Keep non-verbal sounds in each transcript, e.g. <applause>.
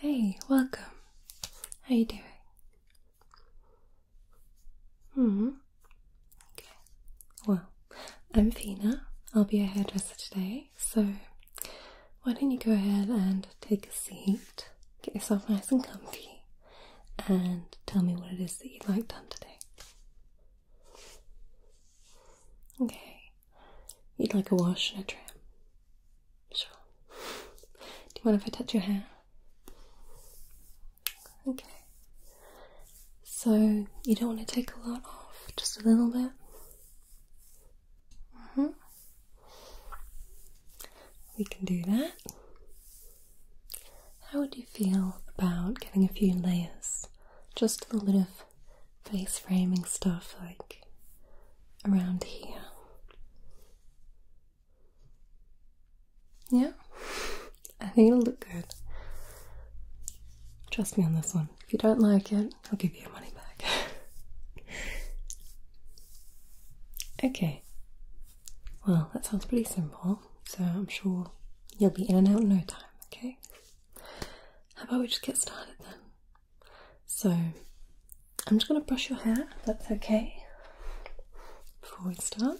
Hey, welcome. How you doing? Hmm. Okay. Well, I'm Fina. I'll be your hairdresser today. So, why don't you go ahead and take a seat, get yourself nice and comfy, and tell me what it is that you'd like done today. Okay, you'd like a wash and a trim? Sure. Do you want if I touch your hair? Okay. So, you don't want to take a lot off, just a little bit? Mm hmm. We can do that. How would you feel about getting a few layers? Just a little bit of face framing stuff like around here. Yeah, <laughs> I think it'll look good. Trust me on this one. If you don't like it, I'll give you your money back. <laughs> okay, well, that sounds pretty simple so I'm sure you'll be in and out in no time, okay? How about we just get started then? So, I'm just going to brush your hair, that's okay, before we start.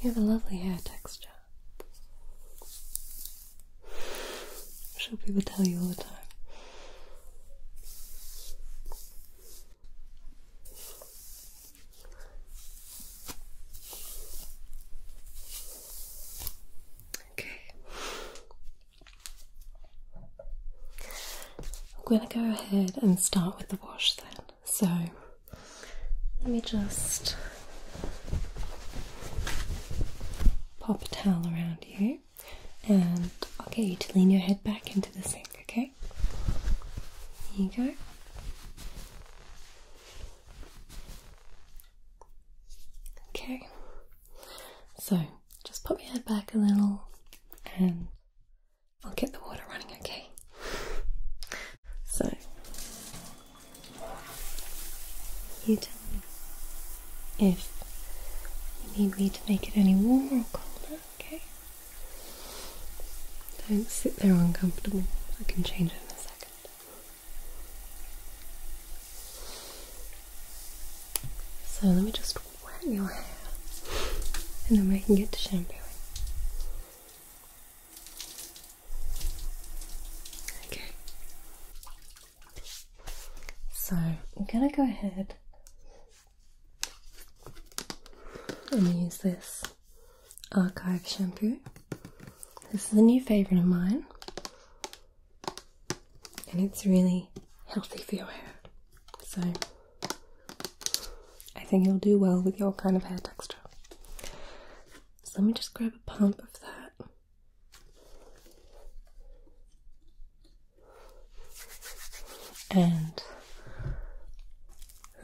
You have a lovely hair texture. Should people tell you all the time. Okay, I'm going to go ahead and start with the wash then. So let me just pop a towel around you and I'll get you to lean your head back into the sink, okay? Here you go. Okay, so just pop your head back a little and I'll get the water running, okay? So, you tell me if you need me to make it any warmer or colder, okay? Don't sit there uncomfortable, I can change it in a second. So let me just wet your hair and then we can get to shampooing. Okay. So I'm gonna go ahead and use this archive shampoo. This is a new favourite of mine and it's really healthy for your hair. So I think it'll do well with your kind of hair texture. So let me just grab a pump of that. And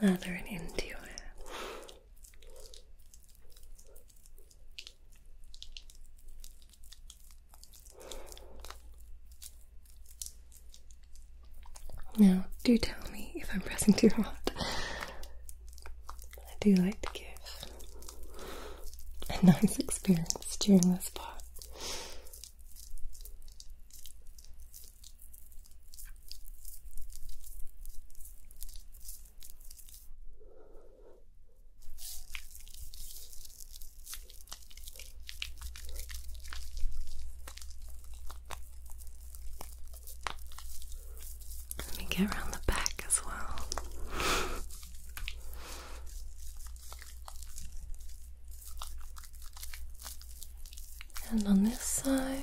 lather it into your hair. Now, do tell me if I'm pressing too hard. I do like to give a nice experience during this part. Let me get around the back as well. and on this side.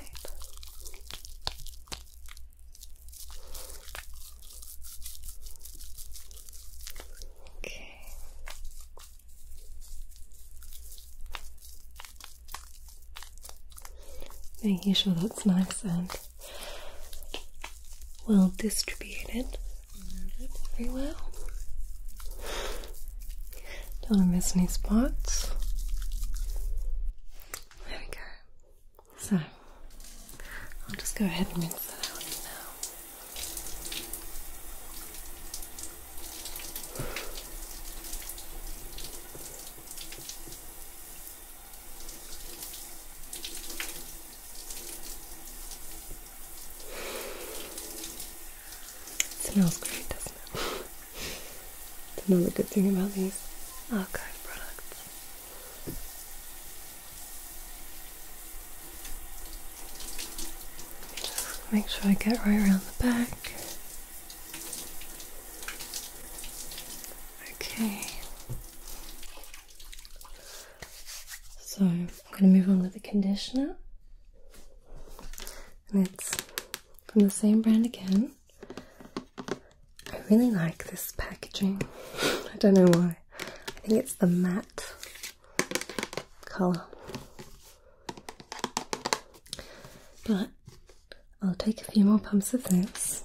Okay. Making sure that's nice and well distributed everywhere. Don't miss any spots. There we go. So I'll just go ahead and rinse that out now. smells great, doesn't it? <laughs> it's another good thing about these archive products. Just make sure I get right around the back. Okay. So I'm going to move on with the conditioner. And it's from the same brand again. I really like this packaging. <laughs> I don't know why. I think it's the matte colour. But I'll take a few more pumps of this.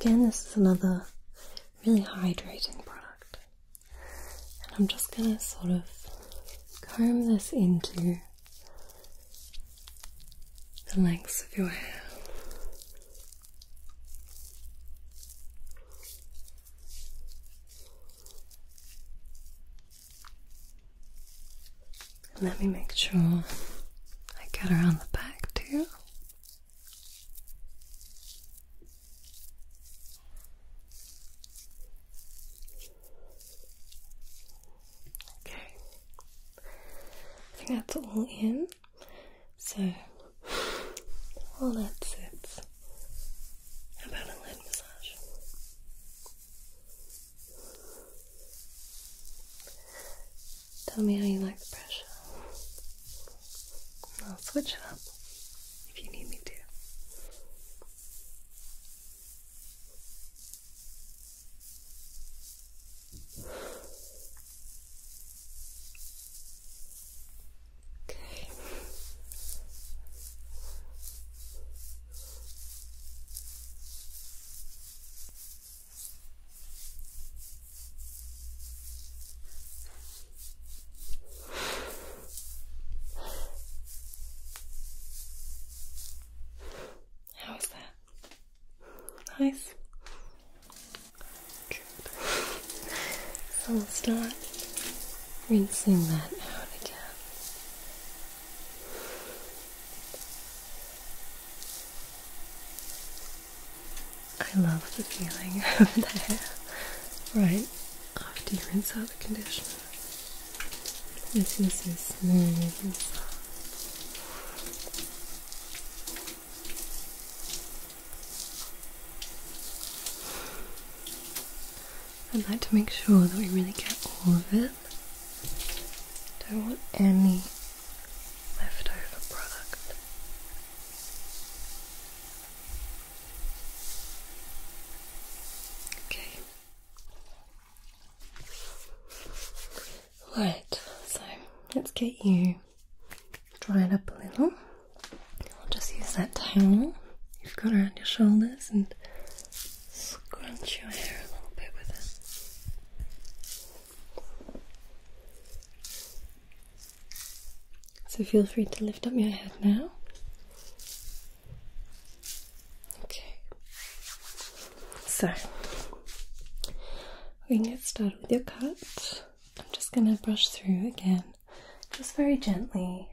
Again, this is another really hydrating product. And I'm just going to sort of comb this into the lengths of your hair. let me make sure I get around the back too. Okay. I think that's all in. So, all that's it about a lid massage? Tell me how you like the pressure. I'll switch it up if you need me to. Okay. How's that? Nice. Good. So we'll start rinsing that out again. I love the feeling <laughs> of the hair right after you rinse out the conditioner. It feels so smooth I'd like to make sure that we really get all of it. Don't want any leftover product. Okay. Right, so let's get you dried up a little. I'll just use that towel you've got around your shoulders and scrunch your hair a little bit with it. So feel free to lift up your head now. Okay. So we can get started with your cut. I'm just going to brush through again, just very gently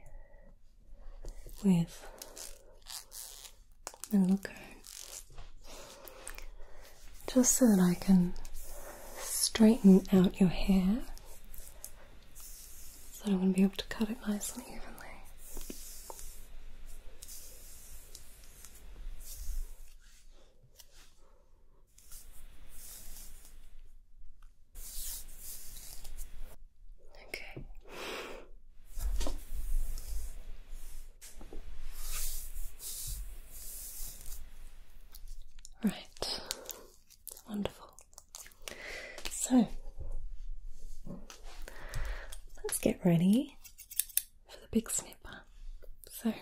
with a little comb, just so that I can straighten out your hair so I'm going to be able to cut it nicely evenly. Okay. Right. Wonderful. So, let's get ready for the big snipper. So,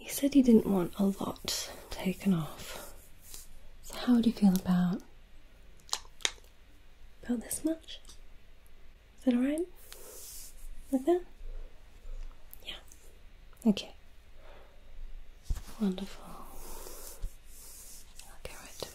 you said you didn't want a lot taken off. So, how do you feel about about this much? Is that alright? Like that? Yeah. Okay. Wonderful. I'll get right to it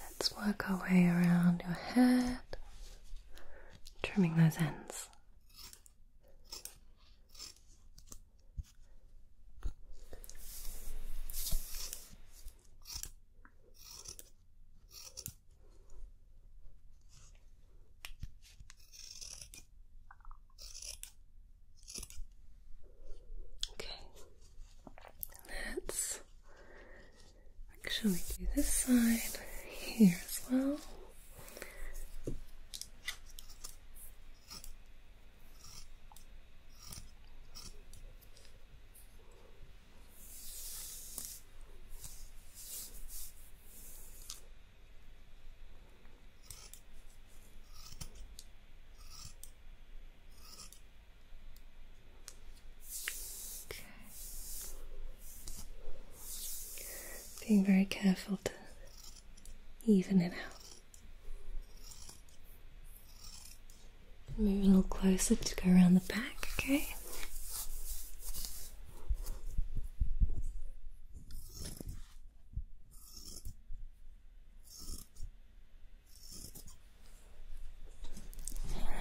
Let's work our way around your head, trimming those ends. Okay, let's actually do this side here as well. Being very careful to even it out. Move a little closer to go around the back, okay?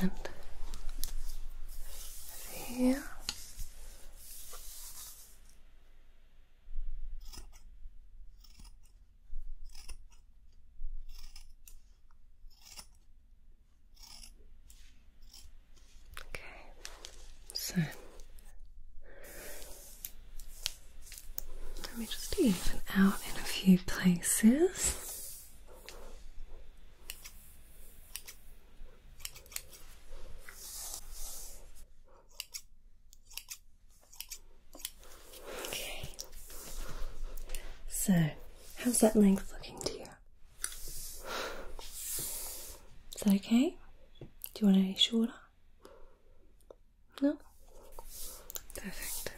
And here. Okay, so let me just even out in a few places. Okay. So, how's that length looking to you? Is that okay? Do you want any shorter? No? Perfect.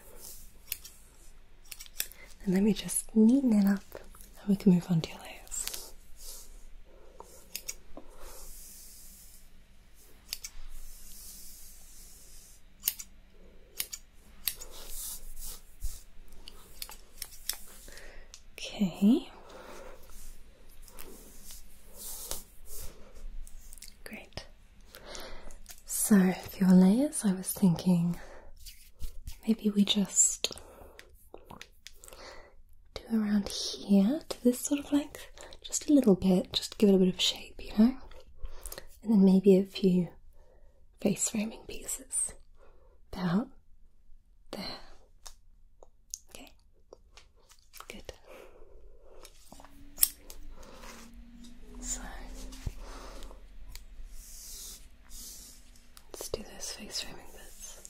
And let me just neaten it up and we can move on to your layers. Okay. Great. So, for your layers, I was thinking maybe we just do around here to this sort of length, just a little bit, just to give it a bit of shape, you know? And then maybe a few face framing pieces about there. Okay. Good. So let's do those face framing bits.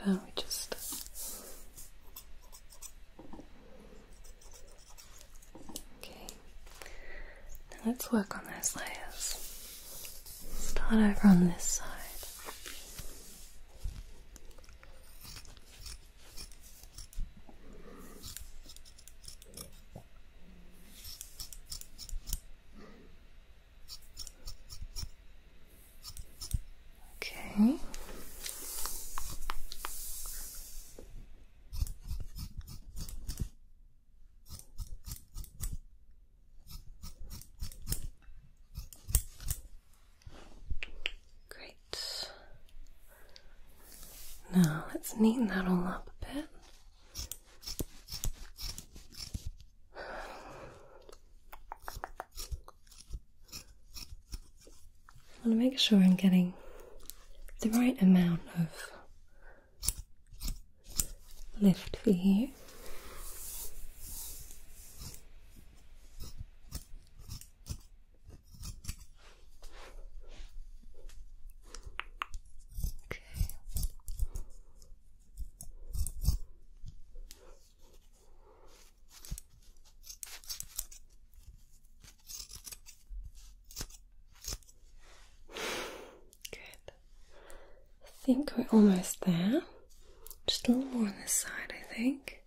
How about we just Okay. let's work on those layers. Start over on this side. Okay. Great. Now let's neaten that all up a bit. I want to make sure I'm getting the right amount of left for here. Okay. Good. I think we're almost there. Just a little more on this side, I think.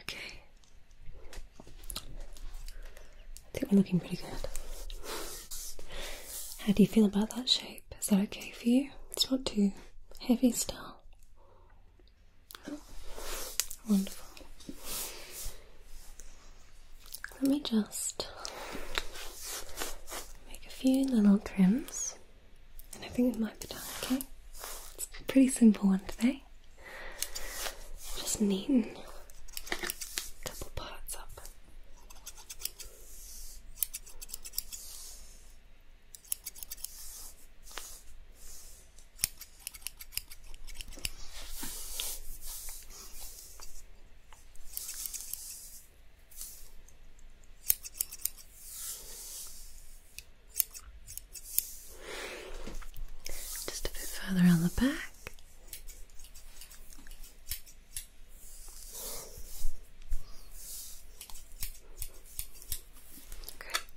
Okay. I think we're looking pretty good. How do you feel about that shape? Is that okay for you? It's not too heavy still. Wonderful. Let me just make a few little trims, and I think it might be done, okay? It's a pretty simple one today. Just neaten a couple parts up. Just a bit further on the back.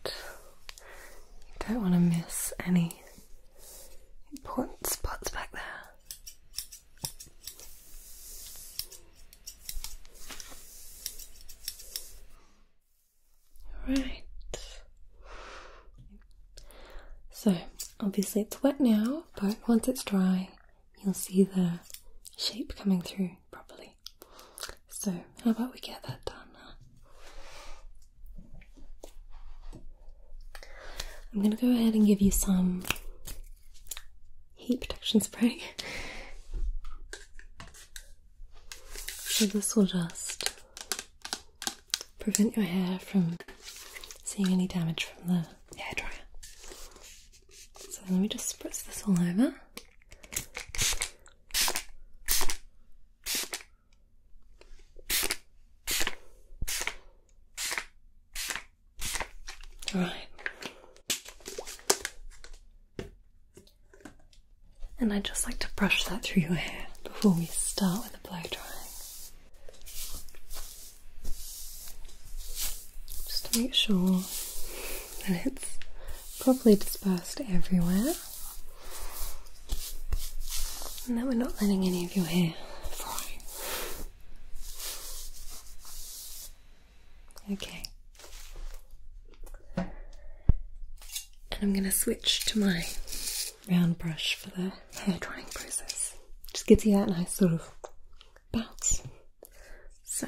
Good. You don't want to miss any important spots back there. Right. So, obviously it's wet now, but once it's dry, you'll see the shape coming through properly so how about we get that done I'm going to go ahead and give you some heat protection spray. So, this will just prevent your hair from seeing any damage from the hair dryer. So, let me just spritz this all over. Right. And I'd just like to brush that through your hair before we start with the blow drying. Just to make sure that it's properly dispersed everywhere. No, we're not letting any of your hair fry. Okay. And I'm going to switch to my round brush for the hair drying process. Just gives you that nice sort of bounce. So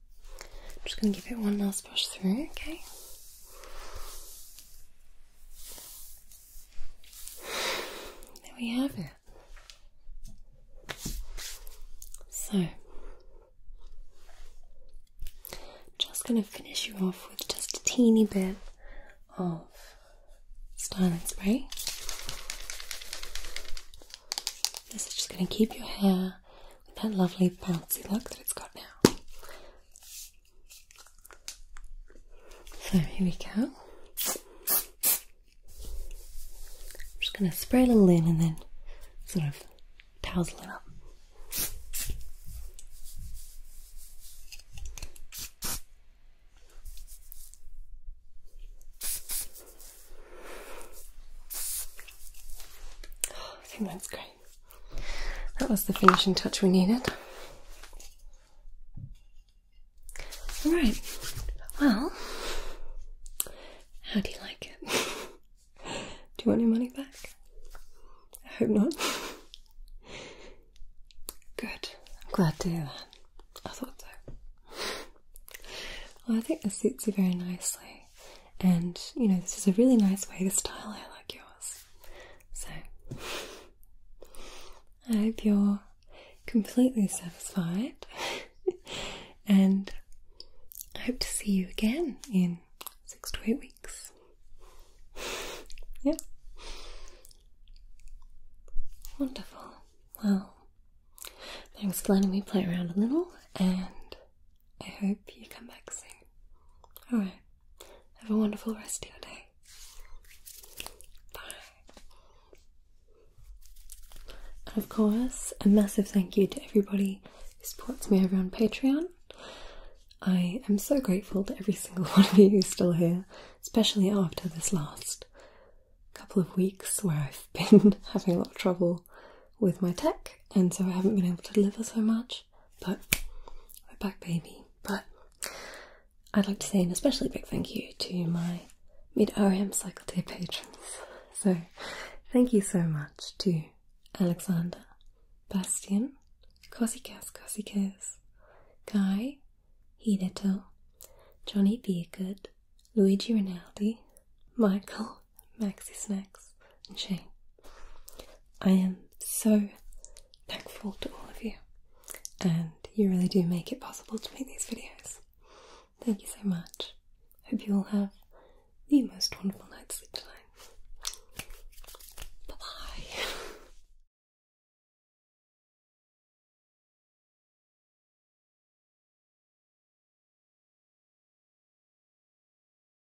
I'm just going to give it one last brush through, okay? There we have it. So, just going to finish you off with just a teeny bit of styling spray. This is just going to keep your hair that lovely bouncy look that it's got now. So here we go. I'm just going to spray a little in and then sort of tousle it up. Oh, I think that's great that was the finishing touch we needed. All right, well, how do you like it? <laughs> do you want your money back? I hope not. Good, I'm glad to hear that. I thought so. Well, I think this suits you very nicely, and you know, this is a really nice way to style hair like yours. So, I hope you're completely satisfied, <laughs> and I hope to see you again in six to eight weeks. Yep. Wonderful. Well, thanks for letting me play around a little, and I hope you come back soon. Alright, have a wonderful rest of your day. Bye. And of course, a massive thank you to everybody who supports me over on Patreon. I am so grateful to every single <laughs> one of you who's still here, especially after this last couple of weeks where I've <laughs> been having a lot of trouble with my tech and so I haven't been able to deliver so much much, but we're back, baby. But I'd like to say an especially big thank you to my mid RM cycle day patrons. So, thank you so much to Alexander, Bastian, Cosikas Cosikas, Guy, Hideto, Johnny Beergood, Luigi Rinaldi, Michael, maxi snacks and shame. I am so thankful to all of you, and you really do make it possible to make these videos. Thank you so much. Hope you all have the most wonderful night's sleep tonight. Bye bye.